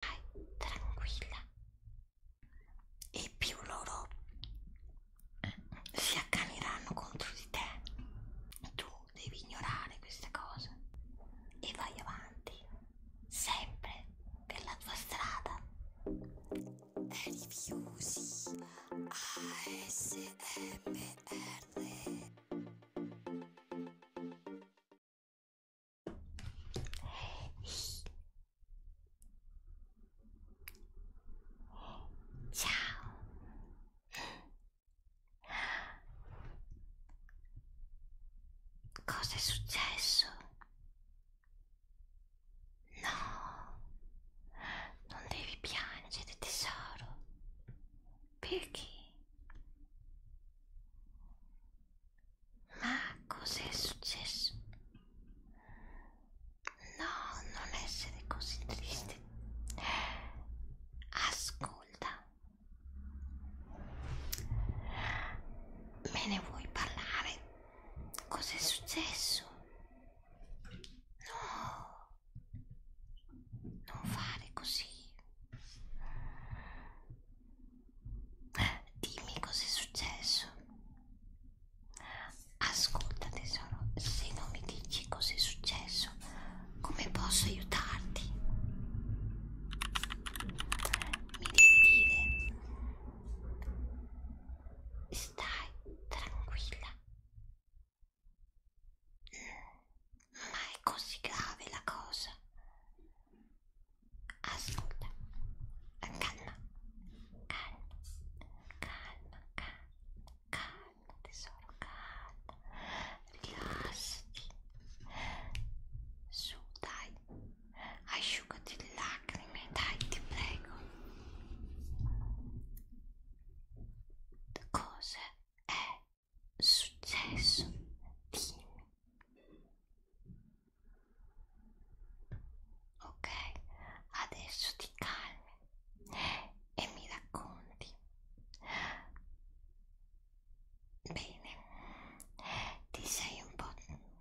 Dai, tranquilla. E più loro si accaniranno contro di te. Tu devi ignorare queste cose e vai avanti, sempre per la tua strada. Rifiusi ASMR Ciao. Cosa è successo? No, non devi piangere tesoro. Perché? Ma cos'è successo? No, non essere così triste. Ascolta. Me ne vuoi parlare? Cos'è successo? No. Non fare così. Dimmi cos'è successo. Ascolta tesoro, se non mi dici cos'è successo, come posso aiutarti? Mi devi dire. Stai tranquilla. Ma è così grave la cosa. Ascolta, calma, calma, calma, calma, calma tesoro, calma, rilassati, su dai, asciugati le lacrime, dai ti prego. Cosa è successo? Dimmi. Ok, adesso ti calmi e mi racconti. Bene, ti sei un po'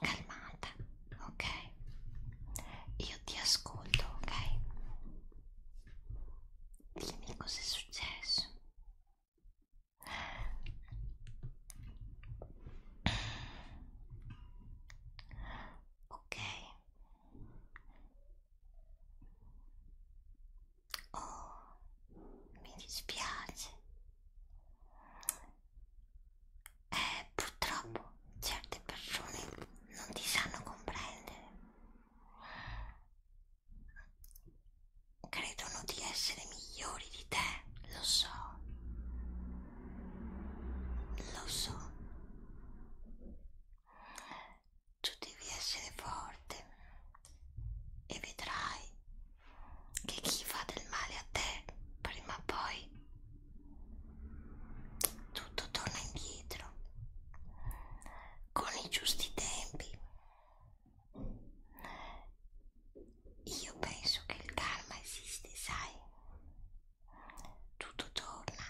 calmata, ok? Io ti ascolto, ok? Dimmi cosa è successo. Ok. Oh, mi dispiace. Eh, purtroppo certe persone non ti sanno comprendere credono di essere migliori di te, lo so, lo so. Tu devi essere forte e vedrai che chi fa del male a te prima o poi tutto torna indietro con i giusti tempi io penso che il karma esiste, sai? Tutto torna.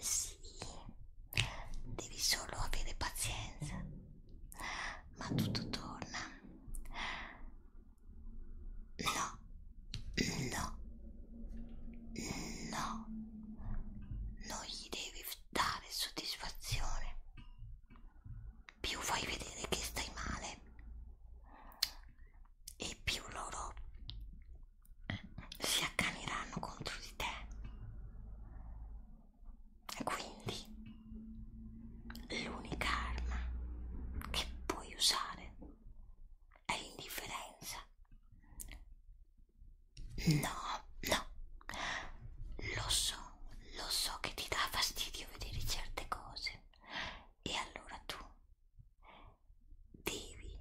Sì, devi solo avere pazienza, ma tutto torna. No, no, no, non gli devi dare soddisfazione, più fai vedere che stai male e più loro eh, si accaniranno contro di te. E quindi l'unica arma che puoi usare è l'indifferenza No, no, lo so, lo so che ti dà fastidio vedere certe cose e allora tu devi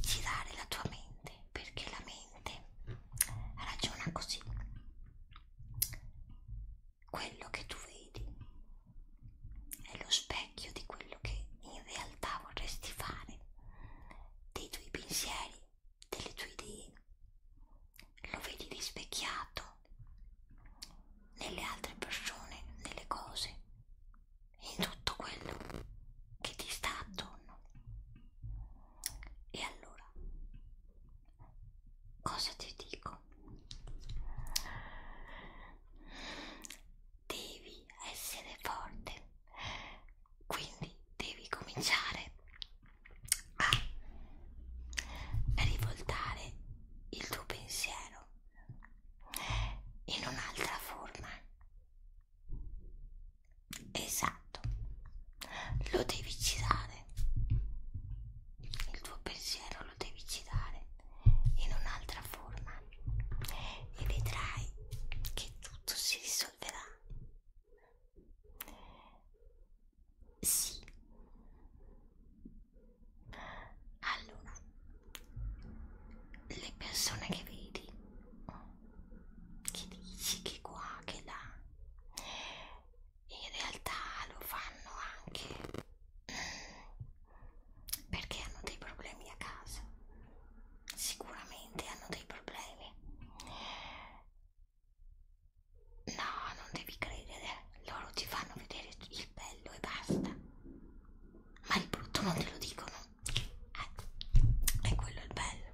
girare la tua mente perché la mente ragiona così quello che tu vedi è lo specchio di quello che in realtà vorresti fare, dei tuoi pensieri, delle tue idee. Lo vedi rispecchiato nelle altre persone, nelle cose, in tutto quello che ti sta attorno. E allora, cosa ti dico? devi essere forte quindi devi cominciare a rivoltare il tuo pensiero in un'altra forma esatto lo devi girare il tuo pensiero lo devi girare in un'altra forma e vedrai che tutto si risolverà. Sì. Allora, le persone che vedi, che dici che qua, che là, in realtà lo fanno anche perché hanno dei problemi a casa sicuramente hanno dei problemi no non devi credere loro ti fanno vedere il bello e basta ma il brutto non te lo dicono eh, è quello il bello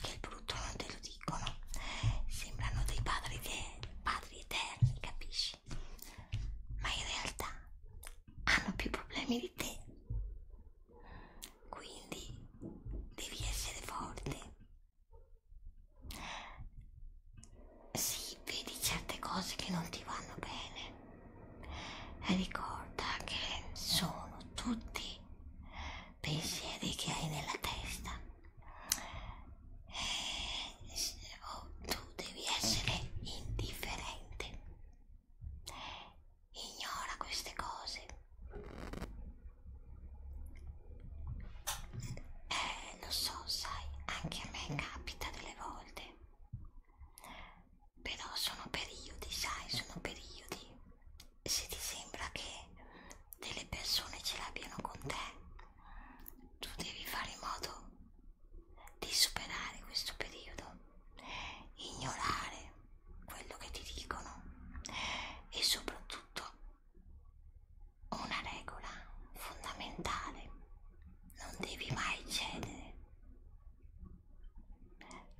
che il brutto non te lo dicono sembrano dei padri, padri eterni capisci felici, ma in realtà hanno più problemi di te. Quindi devi essere forte. Sì, vedi certe cose che non ti vanno bene. Ricorda che sono tutti pensieri che hai nella testa oh, tu devi essere indifferente ignora queste cose eh lo so sai anche a me capita delle volte però sono periodi sai sono periodi se ti sembra che delle persone ce l'abbiano con te tu devi fare in modo di superare questo periodo, ignorare quello che ti dicono e soprattutto una regola fondamentale, non devi mai cedere,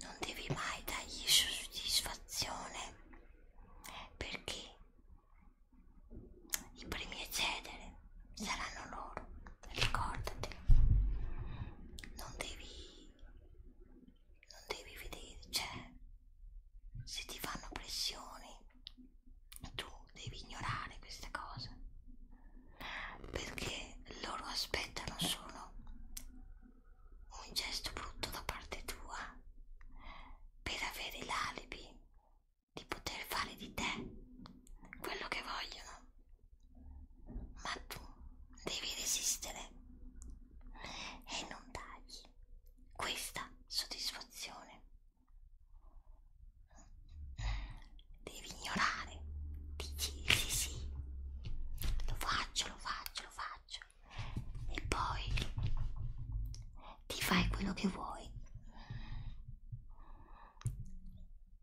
non devi mai dargli soddisfazione perché i primi a cedere saranno loro, ricordati. Non devi, non devi vedere, cioè, se ti fanno pressioni, tu devi ignorare queste cose. Perché loro aspettano solo un gesto brutto da parte tua per avere l'alibi di poter fare di te quello che vogliono, ma tu devi resistere e non dargli questa soddisfazione. Devi ignorare, dici sì sì, lo faccio, lo faccio, lo faccio e poi ti fai quello che vuoi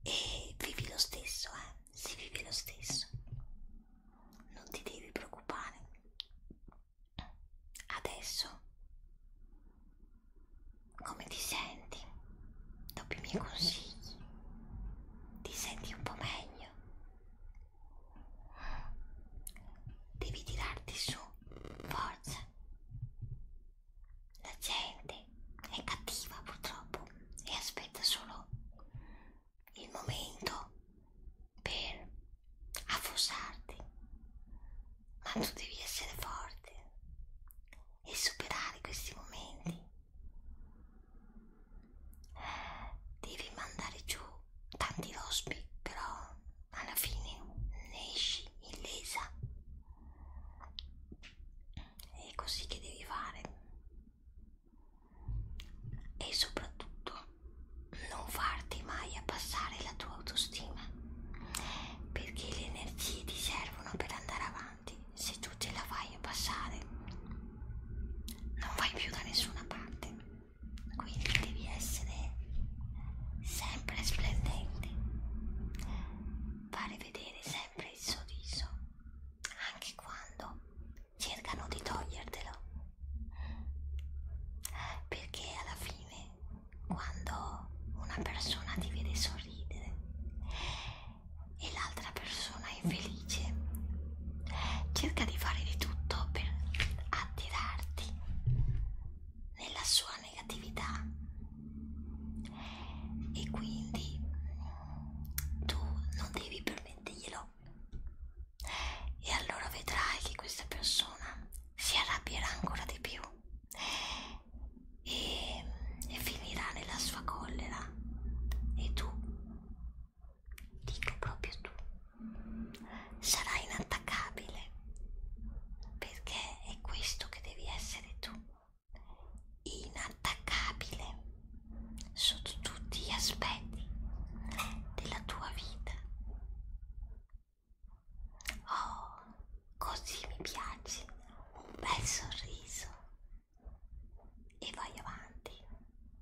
e vivi lo stesso, eh? Si vive lo stesso, non ti devi preoccupare. Adesso come ti senti? Dopo i miei consigli, ti senti un po' meglio? Devi tirarti su forza. La gente è cattiva purtroppo e aspetta solo il momento per affossarti, ma tu devi essere forte e superare questi momenti. Devi mandare giù tanti rospi, però alla fine ne esci illesa è così che devi fare e soprattutto non farti mai abbassare la tua autostima perché le energie ti servono per andare avanti se tu te la fai abbassare non vai più da nessuna parte quindi devi essere sempre splendente, fare vedere sempre il sorriso, anche quando cercano di togliertelo, perché alla fine quando una persona ti vede sorridere e l'altra persona è felice, cerca di fare di tutto per attirarti nella sua negatività e quindi tu non devi permetterglielo e allora vedrai che questa persona si arrabbierà ancora di più e, e finirà nella sua collera e tu dico proprio tu sarai inattaccabile perché è questo che devi essere tu inattaccabile sotto tutti gli aspetti della tua vita oh così mi piaci un bel sorriso e vai avanti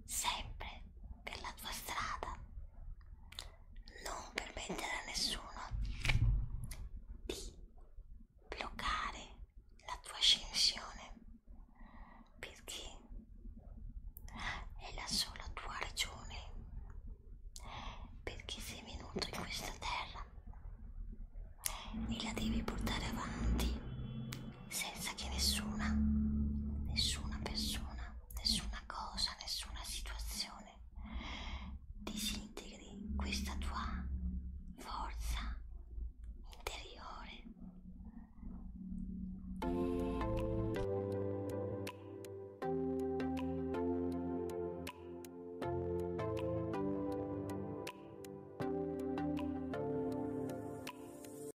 sempre per la tua strada, non permettere a nessuno di bloccare la tua ascensione perché è la sola tua ragione perché sei venuto in questa terra e la devi portare avanti senza che nessuna, nessuna persona, nessuna cosa, nessuna situazione disintegri questa tua forza interiore.